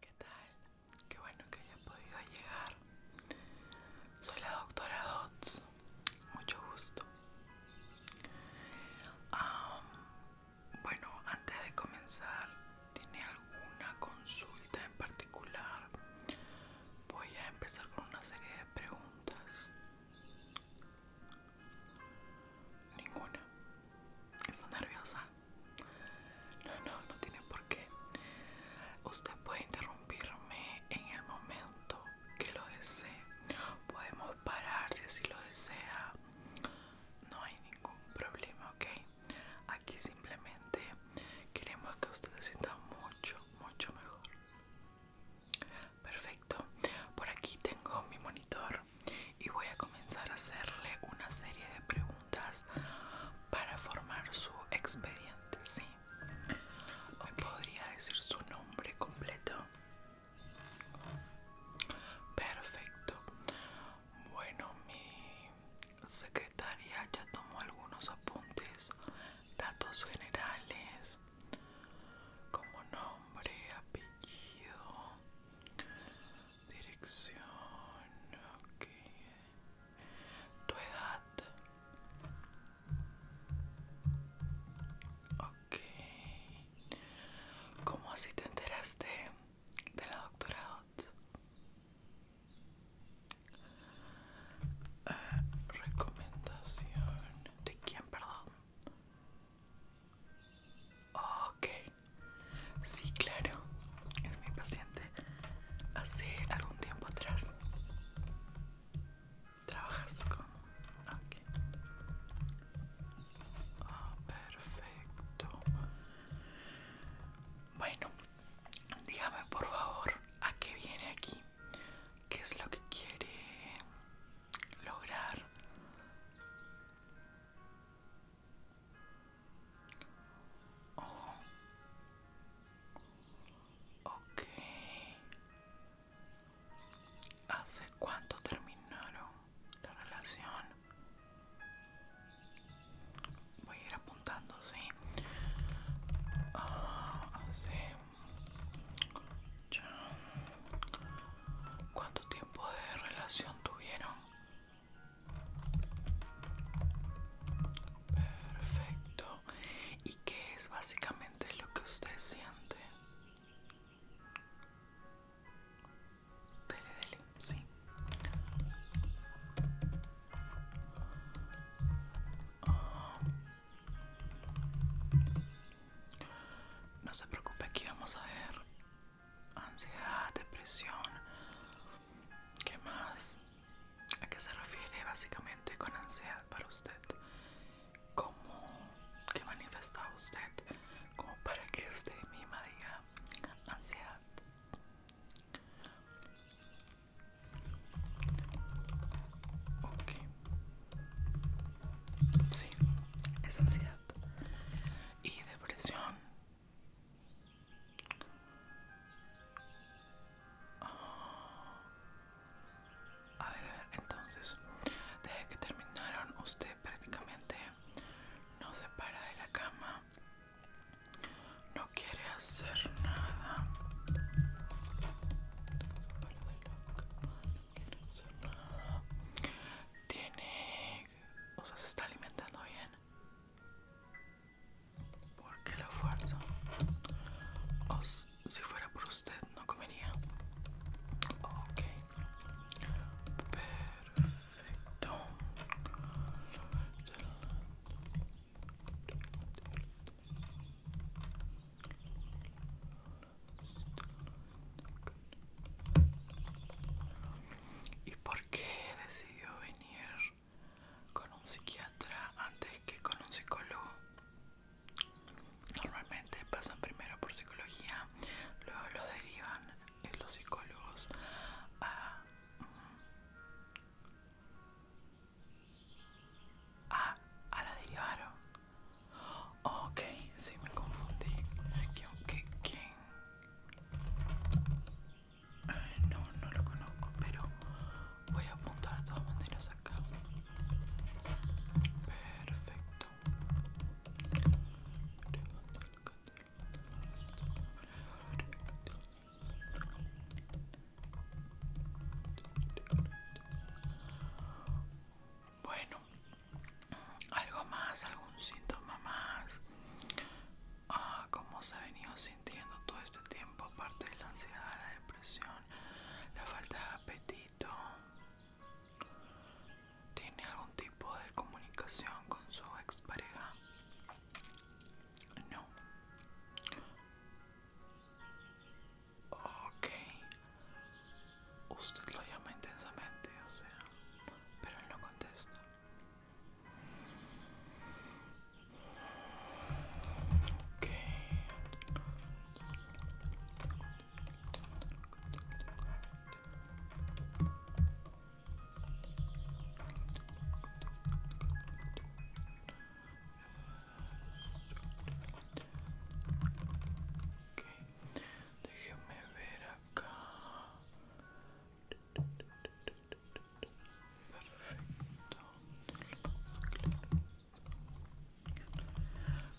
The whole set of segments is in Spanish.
¿Qué tal? Qué bueno que haya podido llegar. Soy la doctora Dodds. Mucho gusto. bueno, antes de comenzar, ¿tiene alguna consulta en particular? Voy a empezar con una serie de preguntas. Ninguna. Estoy nerviosa? No, no, no tiene por qué. Usted puede interrumpirme en el momento que lo desee. Podemos parar si así lo desea. No hay ningún problema, ¿ok? Aquí simplemente queremos que usted se sienta mucho, mucho mejor. Perfecto. Por aquí tengo mi monitor y voy a comenzar a hacerle una serie de preguntas para formar su expediente, ¿sí? ¿Me podría decir su nombre completo? Perfecto. Bueno, mi secretaria ya tomó algunos apuntes, datos generales, como nombre, apellido, Dirección, ok. Tu edad. Ok. ¿Cómo así te enteraste de la doctora eh, recomendación. ¿De quién, perdón? Ok, Sí, claro. Es mi paciente. Hace algún tiempo atrás. Trabajas con... Aquí. Ah, perfecto. Bueno, dígame por favor a qué viene aquí. ¿Qué es lo que quiere lograr? ¿Hace cuánto terminaron la relación? Voy a ir apuntando, sí. Ah, hace. ¿Cuánto tiempo de relación tuvieron? Perfecto. ¿Y qué es básicamente lo que usted siente? Dele, dele, sí. Ah. No se preocupe, aquí vamos a ver ansiedad, depresión. ¿Qué más? ¿A qué se refiere básicamente con ansiedad para usted? ¿Cómo que manifesta usted? Como para que usted misma diga ansiedad. Ok. Sí, es ansiedad. Y depresión. A ver, a ver, entonces, desde que terminaron, usted prácticamente no se para de la cama, no quiere hacer nada. Tiene, o sea, se está alimentando bien porque la fuerza. si fuera por usted no comería ok perfecto ¿Y por qué decidió venir con un psiquiatra antes que con un psicólogo. Normalmente pasan primero por psicología, luego lo derivan los psicólogos a, mm, a, a la derivaron. Ok, si me confundí. No, no lo conozco, pero voy a apuntar de todas maneras acá. Perfecto. Bueno, algo más, algún síntoma más ah, cómo se ha venido sintiendo todo este tiempo, aparte de la ansiedad, la depresión, la falta de apetito. ¿Tiene algún tipo de comunicación con su pareja? No. Ok. Usted lo llama intensamente, o sea, pero él no contesta. Okay. ver acá.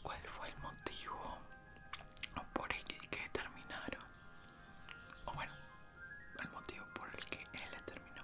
¿Cuál fue el motivo por el que terminaron? O bueno, el motivo por el que él terminó.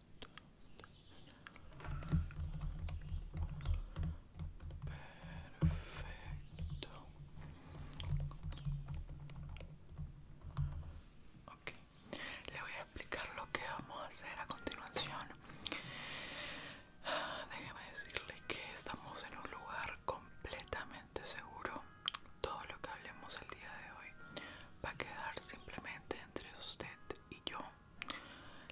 Perfecto. Ok, le voy a explicar lo que vamos a hacer a continuación. Déjeme decirle que estamos en un lugar completamente seguro. Todo lo que hablemos el día de hoy va a quedar simplemente entre usted y yo.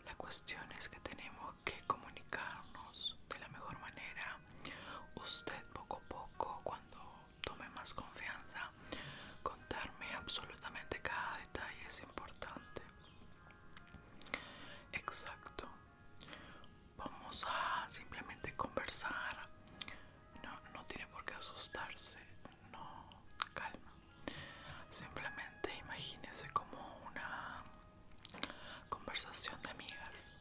La cuestión es que tenemos que comunicarnos de la mejor manera. Usted poco a poco, cuando tome más confianza, contarme absolutamente cada detalle es importante. Exacto. Vamos a simplemente conversar. No, no tiene por qué asustarse. No, calma. Simplemente imagínese como una conversación de amigas.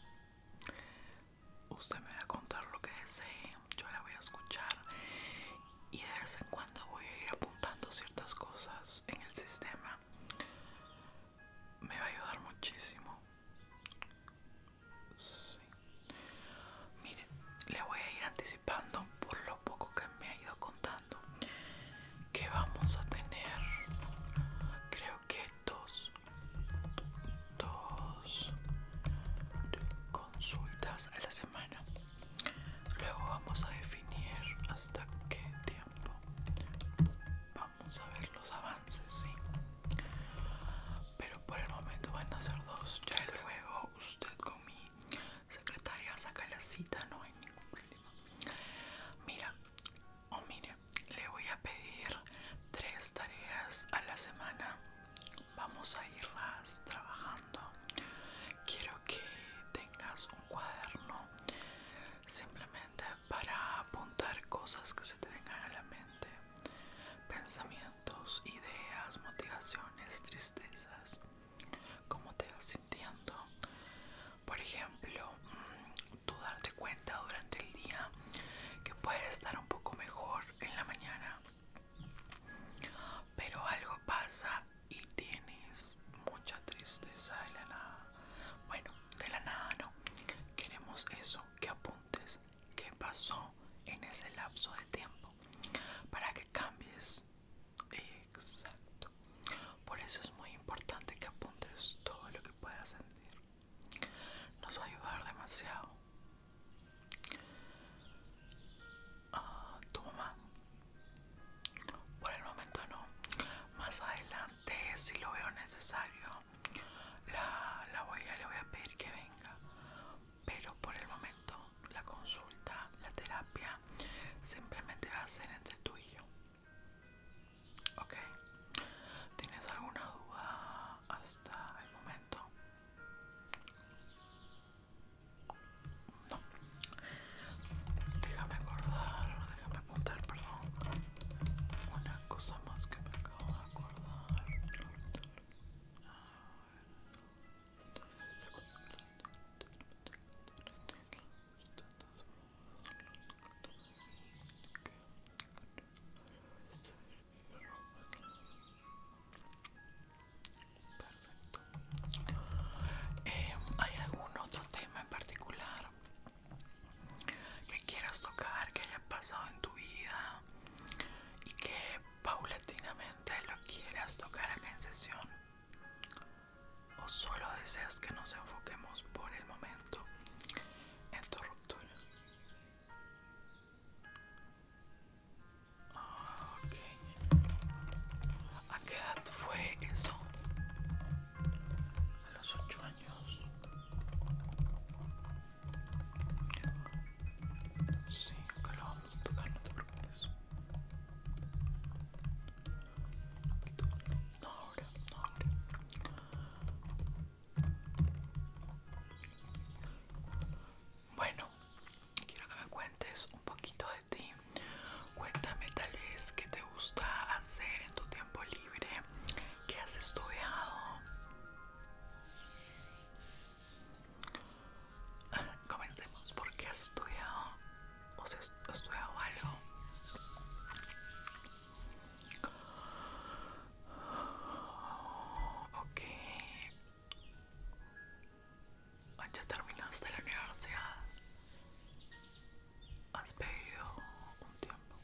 Usted me va a contar lo que desee, yo la voy a escuchar y de vez en cuando voy a ir apuntando ciertas cosas en el sistema. Me va a ayudar muchísimo. Mire, le voy a ir anticipando por lo poco que me ha ido contando que vamos a tener creo que dos dos consultas a la semana luego vamos a definir hasta qué tiempo vamos a ver los avances sí pero por el momento van a ser dos ya luego usted conmigo secretaria saca la cita, no hay ningún problema. Mira, o mire, le voy a pedir tres tareas a la semana. Vamos a irlas trabajando. Quiero que tengas un cuaderno simplemente para apuntar cosas que se te vengan a la mente. Pensamientos, ideas, motivaciones, tristezas cómo te vas sintiendo. Por ejemplo, mm, tú darte cuenta durante el día que puedes estar un poco mejor en la mañana, pero algo pasa y tienes mucha tristeza de la nada. Bueno, de la nada no. Queremos eso, que apuntes qué pasó en ese lapso de tiempo para que cambies Exacto. Por eso es muy importante que apuntes todo lo que puedas sentir. Nos va a ayudar demasiado. Ah, tu mamá. Por el momento no. Más adelante, si lo veo necesario, la, la voy a, le voy a pedir que venga. Pero por el momento la consulta, la terapia, simplemente va a ser entre tú y yo. ¿Ok? ¿Tienes alguna duda hasta el momento? No. Déjame acordar, déjame apuntar, perdón. Una cosa más que me acabo de acordar. Eh, ¿Hay algún otro tema en particular que quieras tocar, que haya pasado en tu vida y que paulatinamente lo quieras tocar acá en sesión? o solo deseas que nos enfoquemos por el momento en tu ruptura. ¿A qué edad fue eso? A los 8 años. Sí, acá lo vamos a tocar, no te preocupes. Bueno, quiero que me cuentes un poquito de ti. Cuéntame tal vez qué te gusta hacer en tu tiempo libre, qué has estudiado. Comencemos porque has estudiado o si has estudiado algo. Ok. Ah, ya terminaste la universidad. Has pedido un tiempo,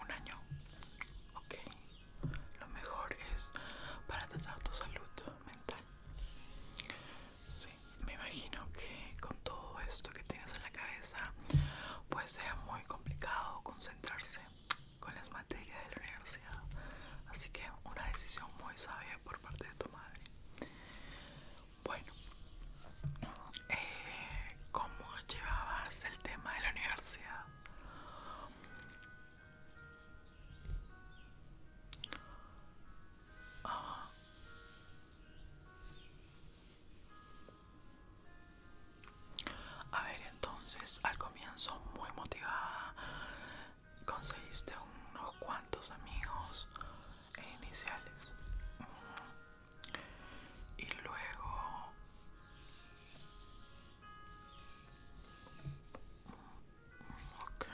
un año. Ok. Lo mejor es para tratar tu salud mental. Sí me imagino que con todo esto que tienes en la cabeza, pues sea muy complicado concentrarse con las materias de la universidad. Así que una decisión muy sabia por parte de tu madre. Bueno, eh, ¿cómo llevabas el tema de la universidad? Ah, a ver, entonces al comienzo muy motivada conseguiste unos cuantos amigos iniciales y luego Ok.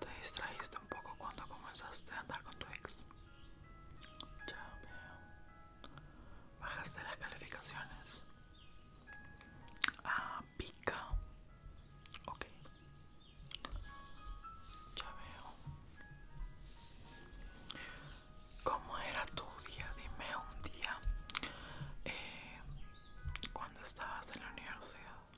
Te distraíste un poco cuando comenzaste a andar con tu ex. Ya veo. Bajaste las calificaciones. Ah, pica. Ok. Ya veo. ¿Cómo era tu día? Dime un día. Eh, cuando estabas en la universidad.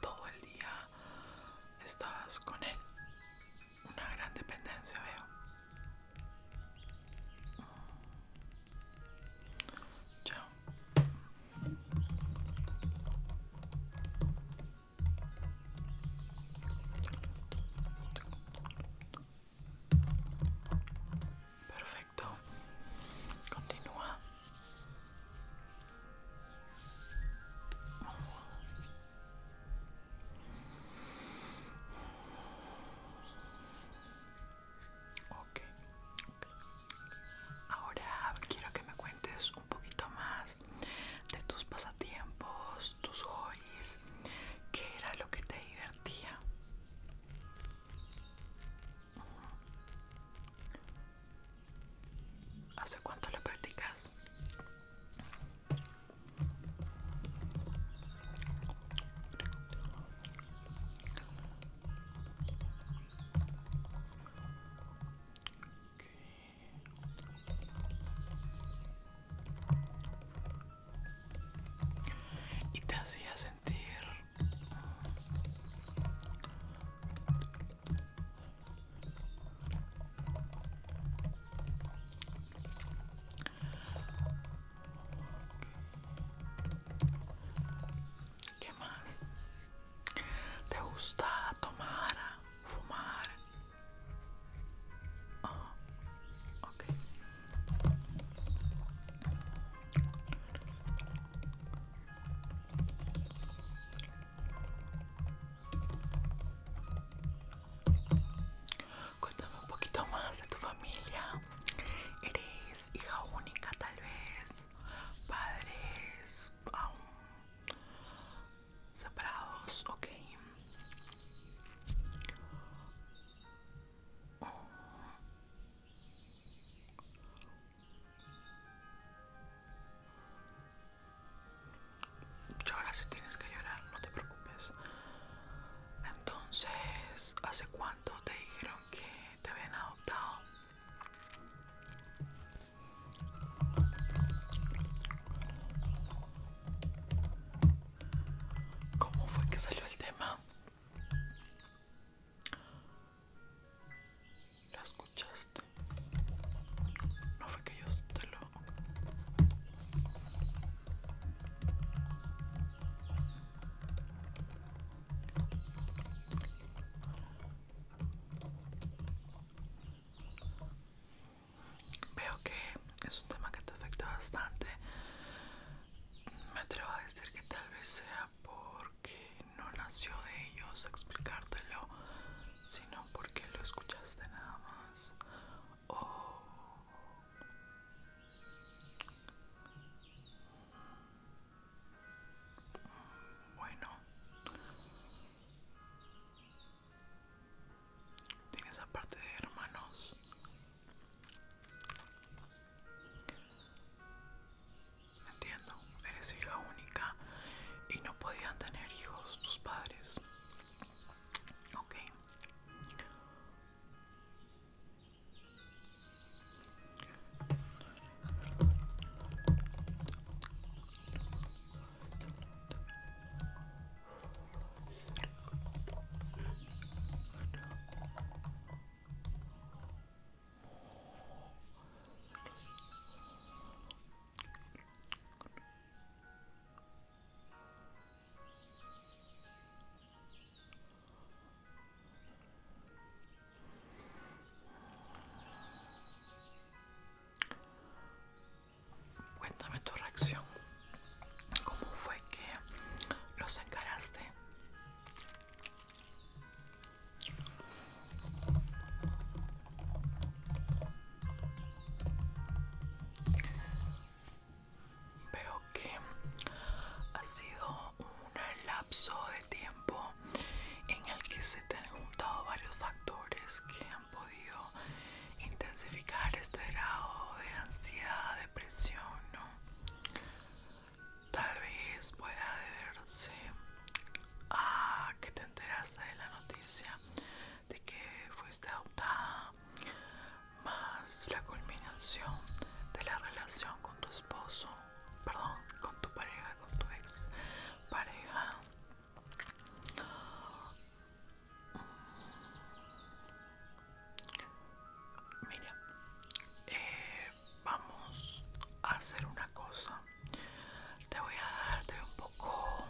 todo el día estás con él. Una gran dependencia veo. Chao. Mm. Perfecto. Continúa. Ahora quiero que me cuentes un poquito más de tus pasatiempos, tus hobbies, qué era lo que te divertía. ¿Hace cuánto lo practicas? Y te hacía sentir ¿Qué más? ¿Te gusta tomar, fumar? Ah, ok. Cuéntame un poquito más de tu familia. ¿Eres hija única tal vez? ¿Padres aún separados? Ok ahora si tienes que llorar, no te preocupes. Entonces, ¿hace cuánto te dijeron que te habían adoptado? ¿Cómo fue que salió el tema? ¿Lo escuchaste? No fue que yo te lo... Veo que es un tema que te afecta bastante. Me atrevo a decir que tal vez sea porque no nació de ellos explicártelo, sino porque lo escuchaste nada más. Oh. Bueno, tienes aparte de hermanos entiendo? Eres hija única y no podían tener hijos tus padres. okay Cuéntame tu reacción. ¿Cómo fue que los encaraste? Veo que ha sido un lapso de tiempo en el que se te han juntado varios factores que han podido intensificar este grado de ansiedad, depresión, ¿no? Tal vez pueda deberse ah, que te enteraste de la noticia de que fuiste adoptada, más la culminación de la relación con tu esposo, perdón, con tu pareja, con tu ex pareja. Mira, eh, vamos a hacer una cosa te voy a darte un poco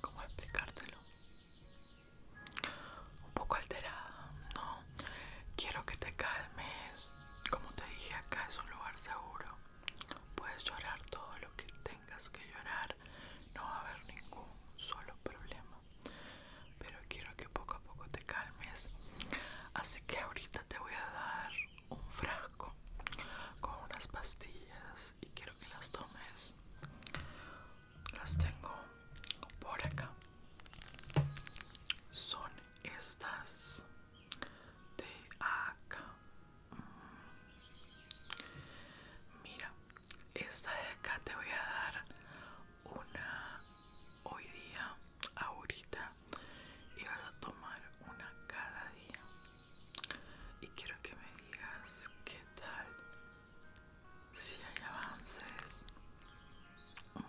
cómo explicártelo un poco alterada no quiero que te calmes como te dije acá es un lugar seguro puedes llorar todo lo que tengas que llorar no va a haber ningún solo problema pero quiero que poco a poco te calmes así que ahorita te voy a dar un frasco con unas pastillas y quiero que las tomes. Las tengo por acá. Son estas de acá. Mm. Mira, esta de acá te voy a dar una hoy día, ahorita, y vas a tomar una cada día. Y quiero que me digas qué tal si hay avances. Mm.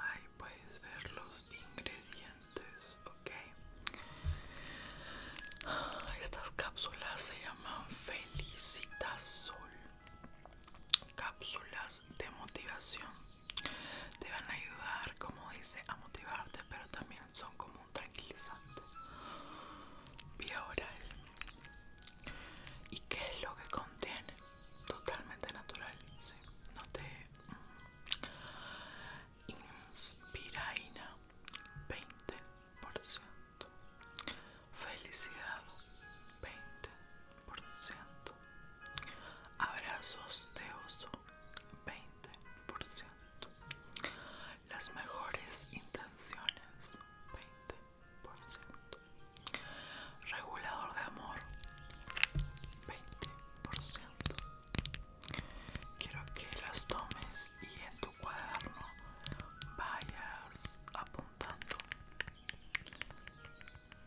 Ahí puedes ver los ingredientes, ok. Ah, estas cápsulas se llaman sol Cápsulas de motivación te van a ayudar, como dice, a motivarte, pero también son como un tranquilizante vía oral. ¿Y qué es lo que contiene? Totalmente natural, ¿sí? No te mm, inspiraina, 20%. Felicidad 20%. Abrazos de oso, 20%. Las mejores intenciones, 20%. Regulador de amor, 20%. Quiero que las tomes y en tu cuaderno vayas apuntando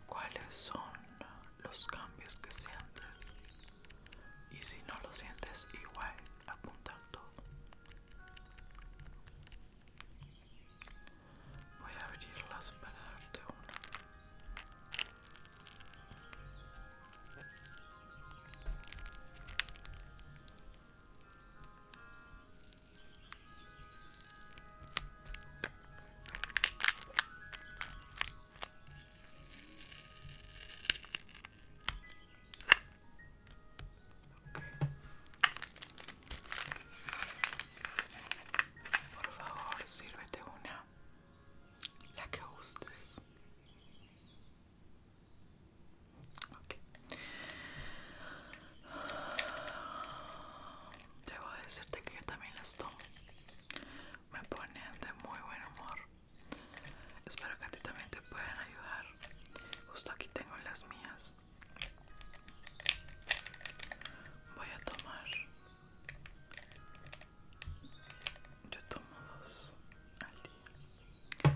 cuáles son los cambios que sientes y si no lo sientes igual apuntar todo voy a abrirlas para darte una por favor, sírvete una, la que gustes. Okay debo decirte que yo también las tomo. Me ponen de muy buen humor. Espero que a ti también te puedan ayudar. Justo aquí tengo las mías. Voy a tomar. Yo tomo dos al día.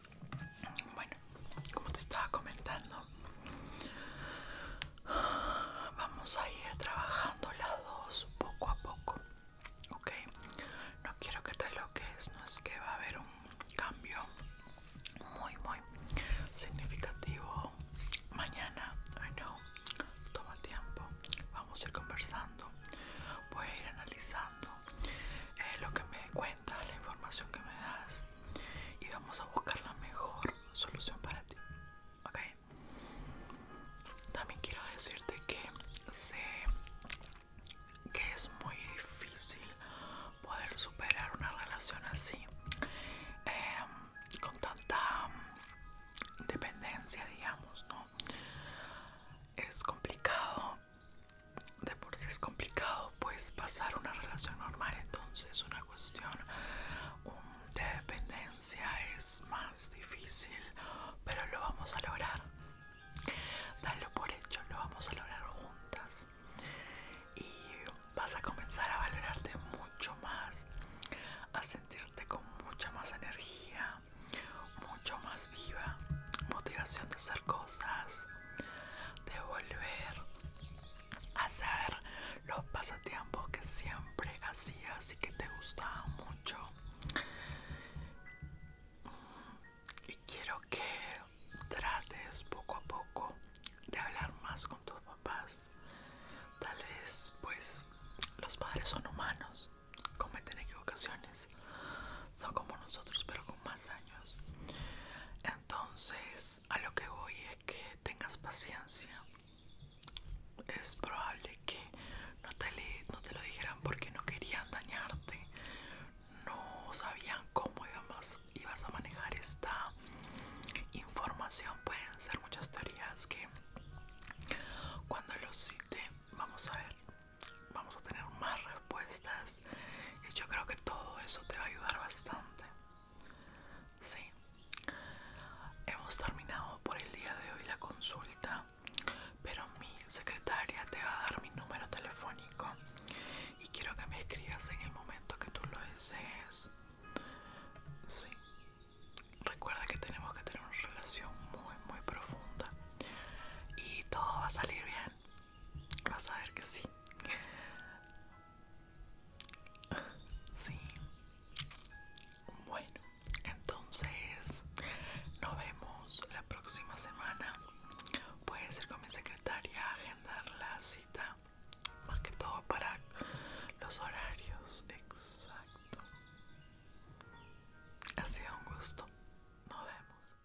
Bueno, como te estaba comentando, vamos a ir trabajando las dos poco a poco, ¿ok? No quiero que te loques, no es que va a haber un cambio muy, muy significativo mañana, I know, toma tiempo, vamos a ir conversando, voy a ir analizando eh, lo que me cuenta, la información que me das y vamos a buscar la mejor solución para ti. ¿Ok? También quiero decirte que sé que es muy difícil poder superar una relación así, em, con tanta dependencia, digamos, ¿no? Es complicado de por si es complicado pues pasar una relación normal entonces una cuestión um, de dependencia es más difícil pero lo vamos a lograr dalo por hecho lo vamos a lograr juntas y vas a comenzar a valorarte mucho más a sentirte con mucha más energía mucho más viva motivación de hacer cosas de volver a hacer los pasatiempos que siempre hacías y que te gustaban mucho. Y quiero que trates poco a poco de hablar más con tus papás. Tal vez, pues, los padres son humanos, cometen equivocaciones son como nosotros pero con más años entonces a lo que voy es que tengas paciencia es probable que no te, lo dijeran porque no querían dañarte no sabían cómo ibas, a manejar esta información pueden ser muchas teorías que cuando los cite vamos a ver vamos a tener más respuestas y yo creo que todo eso te va a ayudar bastante. Sí, hemos terminado por el día de hoy la consulta, pero mi secretaria te va a dar mi número telefónico y quiero que me escribas en el momento que tú lo desees. Sí, recuerda que tenemos que tener una relación muy, muy profunda y todo va a salir bien. Vas a ver que sí. Sí. Bueno, entonces nos vemos la próxima semana. Puedes ir con mi secretaria agendar la cita. Más que todo para los horarios. Exacto. Ha sido un gusto. Nos vemos.